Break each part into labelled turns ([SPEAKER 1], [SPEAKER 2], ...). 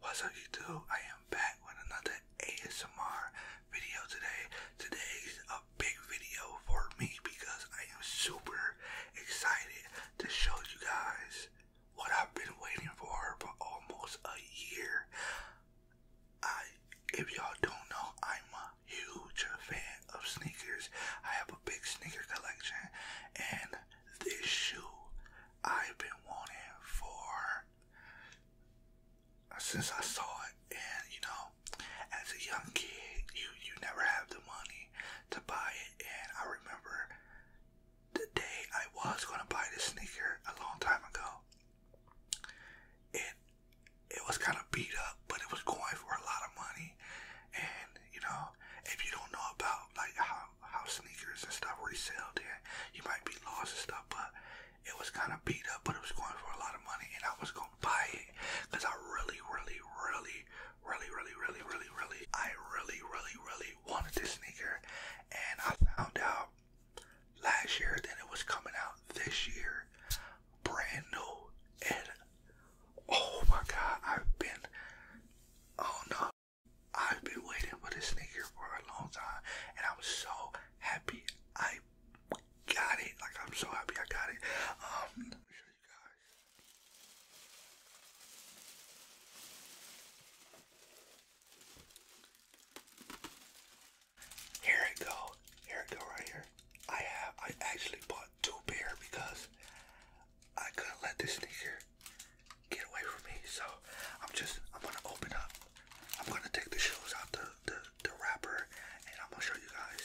[SPEAKER 1] What's up you two? I am back with another ASMR video today. Today's a big video for me because I am super excited to show you guys what I've been waiting for for almost a year. I, if y'all don't know, I'm a huge fan of sneakers. I have a big sneaker collection, and this shoe I've been wanting for since I saw it. And you know, as a young kid, you you never have the money to buy it. And I remember the day I was gonna buy this sneaker a long time ago, it it was kind of beat up, but it was going for a lot of money. And you know, if you don't know about like how how sneakers and stuff resell, then you might be lost and stuff. But it was kind of beat up, but it was going for a lot of money, and I was gonna buy it because I really, really, really, really, really, really, really, really, I really, really, really, really wanted this sneaker, and I found out last year that it was coming out this year, brand new. And oh my god, I've been, oh no, I've been waiting for this sneaker for a long time, and I'm so happy I got it. Like I'm so happy I got it. Um. Here it go. Here it go right here. I have I actually bought two pair because I couldn't let this sneaker get away from me. So I'm just I'm gonna open up. I'm gonna take the shoes out the the, the wrapper and I'm gonna show you guys.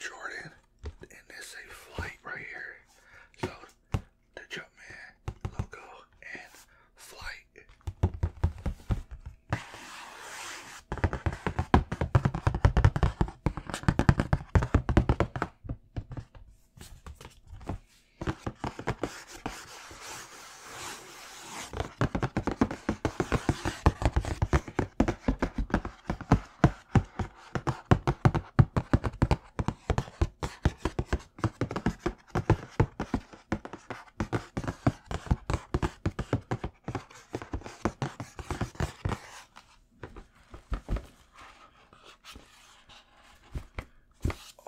[SPEAKER 1] Jordan, and this a flight right here. So the Jumpman logo and flight. Oh my,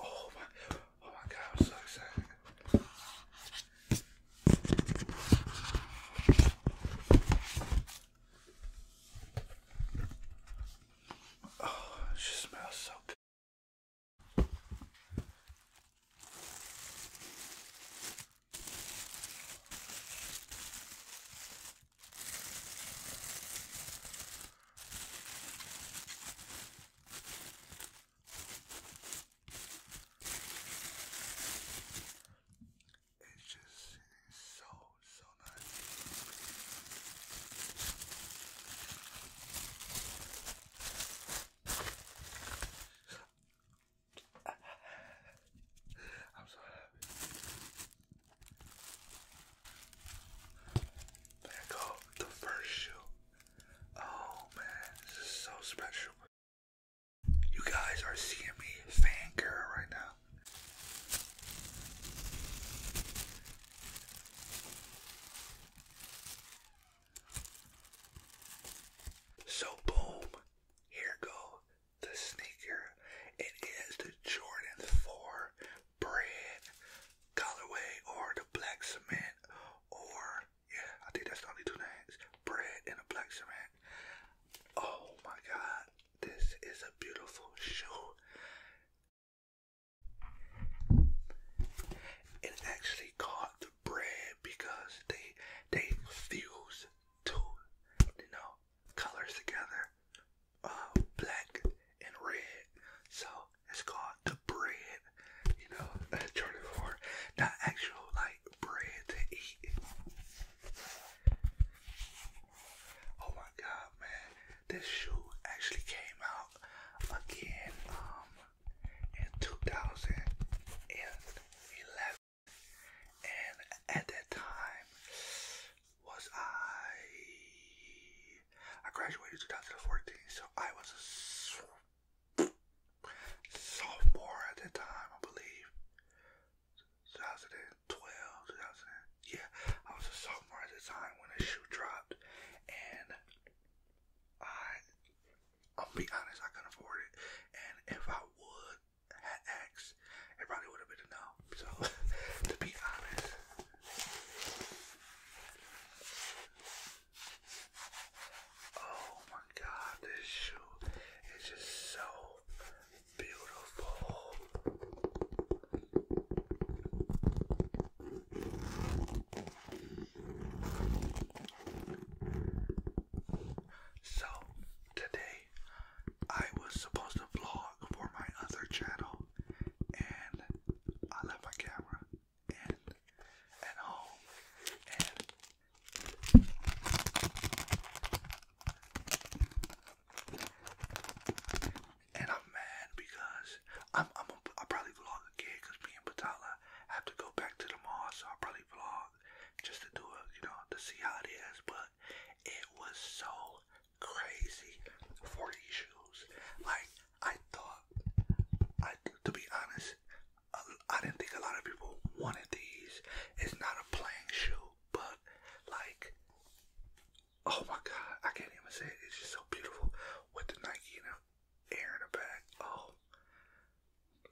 [SPEAKER 1] oh my god, I'm so excited. Oh, she smells so good. It's just so so nice i go the first shoe. Oh man, this is so special. You guys are seeing me fan girl right now. So boom, here go the sneaker. It is the Jordan 4 brand colorway or the black cement or yeah, I think that's only two names. Bread and a black cement. Oh my god, this is a beautiful shoe. It actually caught the bread because they they fuse two you know colors together, uh, black and red. So it's called the bread. You know, Jordan for not actual like bread to eat. Oh my god, man! This shoe actually came out again um, in 2011. And at that time, was I? I graduated 2014, so I was a sophomore at that time, I believe. 2012, yeah, I was a sophomore at the time when the shoe dropped, and I, I'll be honest, I couldn't afford it. And if I would had asked, it probably would have been no. So, to be honest. Oh my god, this shoe is just so beautiful. So, today I was supposed to vlog for my other channel, and I left my camera and at home, and and I'm mad because I'm I'm a, I'll probably vlog again because me and Patala have to go back to the mall, so I'll probably vlog just to do it, you know, to see how it is. But it was so crazy for these shoes. Like I thought, I to be honest, I didn't think a lot of people wanted these. It's not a playing shoe, but like Oh my god, I can't even say it. It's just so beautiful with the Nike and the air in the back. Oh,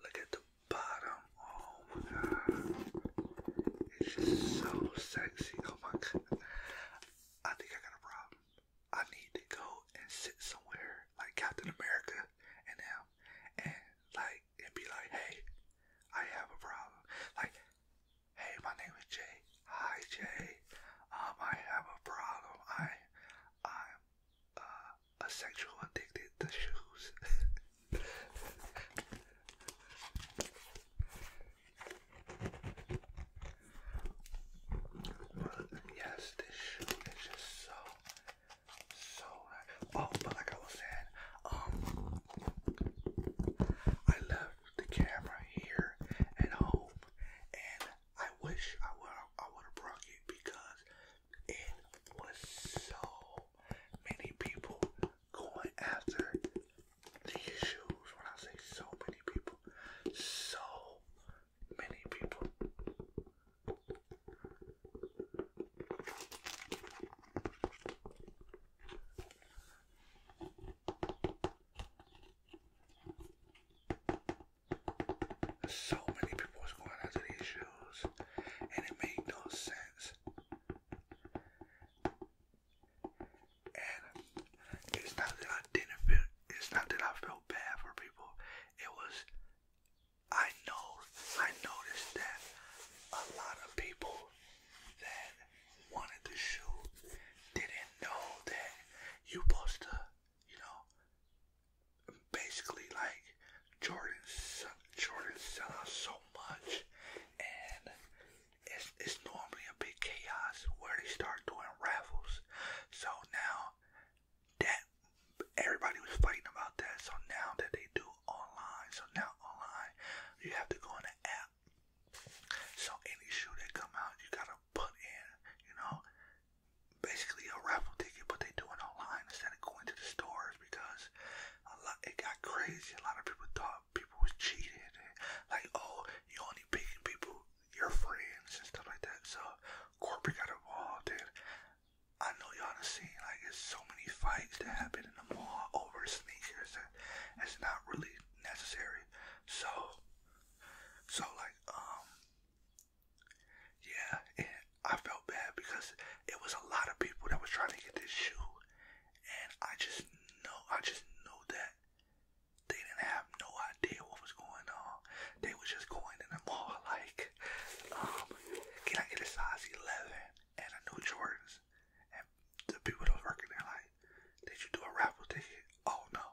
[SPEAKER 1] look at the bottom. Oh my god, it's just so sexy. Oh my god, I think I got a problem. I need to go and sit somewhere like Captain America and them and like and be like, hey, I have a problem. Like, Hey, my name is Jay. Hi, Jay. Um, I have a problem. I, i uh, a sexual addicted to shoes. yes, this shoe is just so, so Oh, but like I was saying, um, I left the camera here at home, and I wish I would I would have brought it because it was so many people going after these shoes. When I say so many people, so many people. So many people was going after these shoes, and it made no sense. And it's not that I didn't feel. It's not that I felt bad for people. It was I know I noticed that a lot of people that wanted to shoot didn't know that you supposed to, you know, basically like Jordan, Jordan sell out so much, and it's it's normally a big chaos where they start doing raffles. So now that everybody was fighting about that, so now that they do online, so now online you have to go on the app that. So any shoe that come out, you gotta put in, you know, basically a raffle ticket, but they do it online instead of going to the stores because a lot it got crazy. A lot of people thought people was cheated, and like oh, you only picking people your friends and stuff like that. So corporate got involved, and I know y'all have seen like it's so many fights that happen in the mall over sneakers, and it's not really necessary. So, so like, um, yeah, and I felt bad because it was a lot of people that was trying to get this shoe, and I just know, I just know that they didn't have no idea what was going on. They was just going in the mall like, um, can I get a size eleven? and a new Jordans. And the people that was working there like, did you do a raffle ticket? Oh no.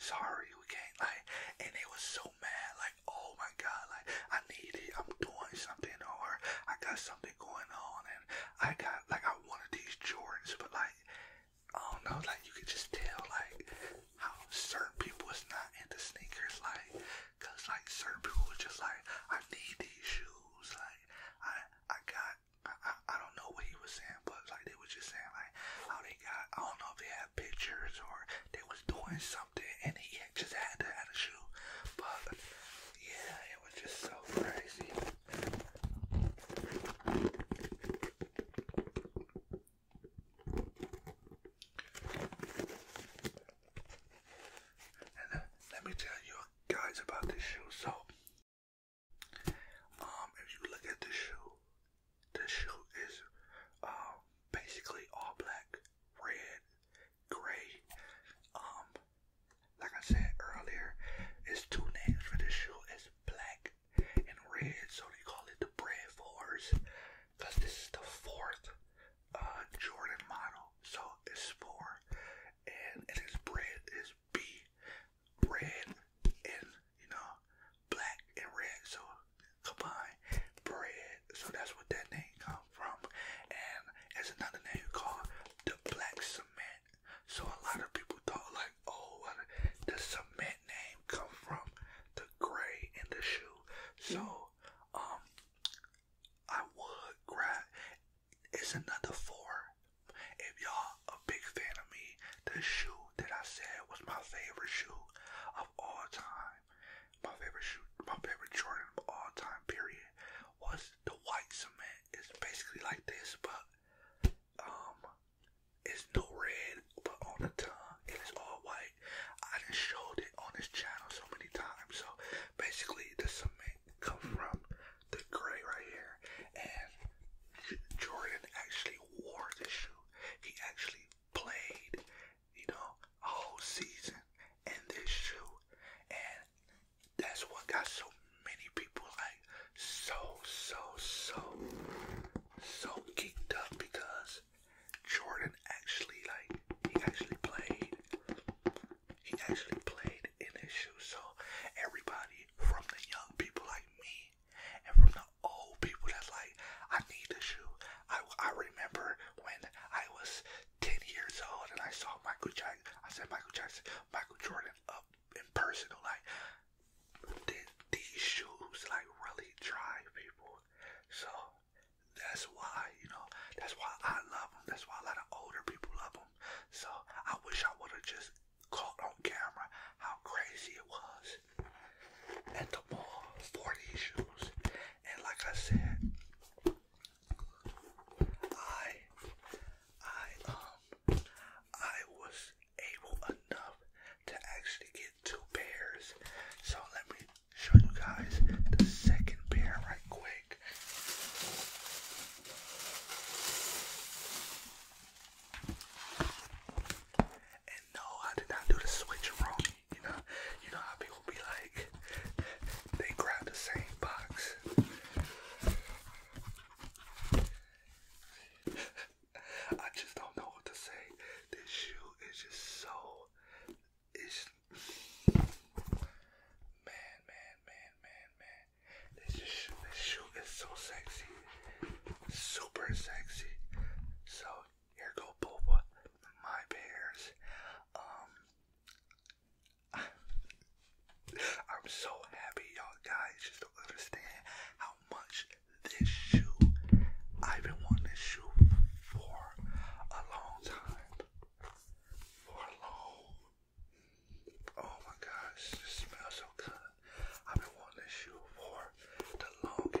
[SPEAKER 1] Sorry, we can't like and they was so mad, like, oh my god, like I need it, I'm doing something or I got something going on and I got like I wanted these Jordans but like oh no, like you could just tell like how certain people was not into sneakers, like, cause like certain people were just like, I need these shoes, like I I got like I, I, I don't know what he was saying, but like they was just saying like how they got I don't know if they had pictures or they was doing something and he had just had to have a shoe. But yeah, it was just so crazy. And uh, let me tell you a guys about this shoe. So, um, if you look at this shoe, this shoe is um basically all black, red, gray. Um, like I said earlier, it's two names for this shoe. is black and red, so they call it the Brave fours, cause this is the fourth uh Jordan model. So it's for and it is bread is beef, red and you know black and red, so combined bread. So that's what that name comes from. And it's another name called the black cement. So a lot of people thought like, oh, the cement name come from the gray in the shoe. So um, I would grab it's another four. If y'all a big fan of me, the shoe that I said was my favorite shoe of all time, my favorite shoe, my favorite Jordan of all time, period, was the white cement. It's basically like this, but um, it's no red, but on the tongue, it is all white. I just showed it on this channel so many times. So basically, the cement line come from the gray right here. And Jordan actually wore this shoe. He actually played, you know, a whole season in this shoe. And that's what got so many people like so, so, so, so geeked up because Jordan actually like he actually played he actually played in his shoes. So everybody from the young people like me and from the old people that's like, I need a shoe. I, I remember when I was 10 years old and I saw Michael Jackson. I said Michael Jackson, Michael Jordan up in person. Like, did these shoes like really drive people? So that's why, you know, that's why I love them. That's why a lot of older people love them. So I wish I would have just caught on camera how crazy it was at the mall for these shoes. And like I said, I, I, um, I was able enough to actually get two pairs. So let me show you guys the second pair right quick. And no, I did not do the switch wrong. You know, you know how people be like, they grab the same box. I just don't know what to say. This shoe is just so man, man, man, man, man. This shoe, this shoe is so sexy, super sexy. So here go Boba, my bears. Um, I'm so happy, y'all guys. Just don't understand how much this shoe. I've been wanting this shoe for a long time for long. Oh my gosh, this smells so good. I've been wanting this shoe for the longest.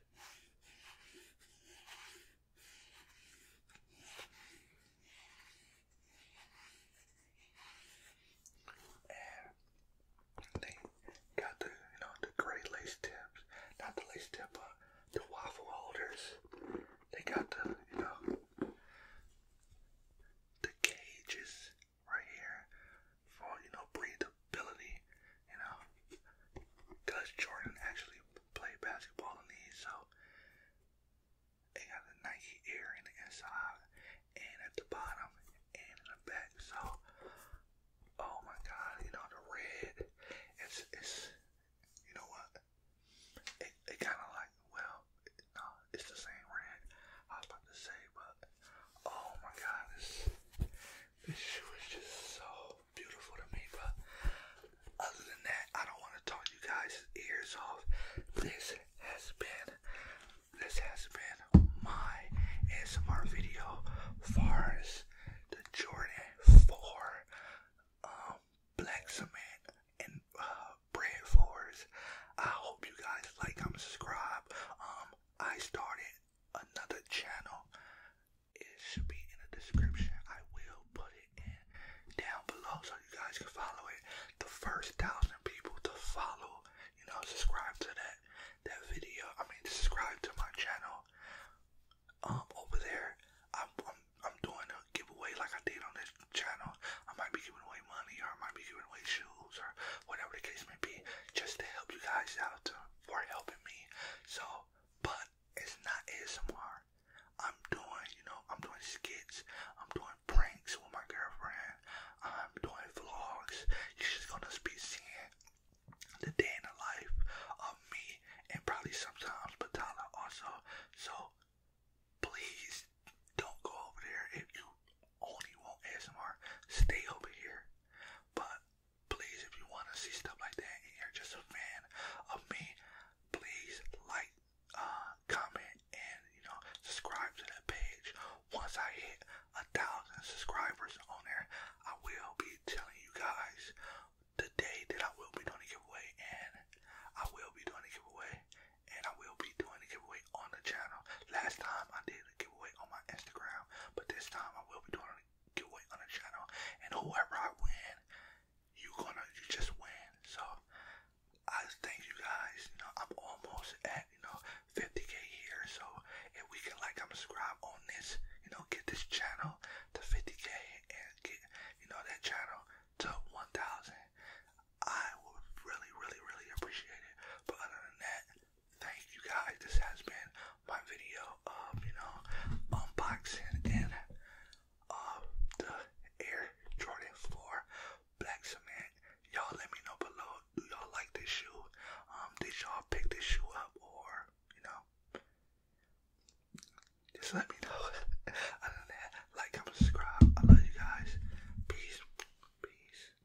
[SPEAKER 1] And they got the you know the great lace tips, not the lace tip, but the waffle holders. They got the you know the cages right here for you know breathability you know, because Jordan actually played basketball in these, so it got the Nike Air in the inside and at the bottom and in the back. So, oh my God, you know the red, it's it's, you know what? It it kind of like well, no, it's the same red. I was about to say, but oh my God, it's this is just so beautiful to me, but other than that, I don't want to talk you guys' ears off. This has been this has been my ASMR video far the Jordan 4 um, black cement and uh, bread fours. I hope you guys like, comment, subscribe. Um, I started another channel, it should be in the description. I will put it in down below so you guys can follow it. The first thousand people to follow, you know, subscribe to that that video. I mean, subscribe to my channel. Um, over there, I'm I'm doing a giveaway like I did on this channel. I might be giving away money, or I might be giving away shoes, or whatever the case may be, just to help you guys out for helping me. So, but it's not ASMR. I'm doing, you know, I'm doing skits, I'm doing pranks with my girlfriend, I'm doing vlogs. You're just gonna be seeing the day in the life of me and probably sometimes but Donna also. So, please don't go over there if you only want ASMR, stay over here. But please, if you want to see stuff like that and you're just a fan of me, please like, uh, comment, and you know, subscribe to that page. Once I hit a thousand subscribers on there, I will be telling you guys the day that I will be doing a giveaway, and I will be doing a giveaway, and I will be doing a giveaway on the channel. Last time I did a giveaway on my Instagram, but this time I will be doing a giveaway on the channel. And whoever I win, you gonna you just win. So I thank you guys. You know, I'm almost at you know 50k here. So if we can like subscribe on this, you know, get this channel to 50k and get you know that channel to 1,000. I would really, really, really appreciate it. But other than that, thank you guys. This has been my video of, you know, unboxing and of uh, the Air Jordan 4 Black Cement. Y'all let me know below. Do y'all like this shoe? Um, did y'all pick this shoe up or, you just let me know. like, comment, subscribe. I love you guys. Peace. Peace.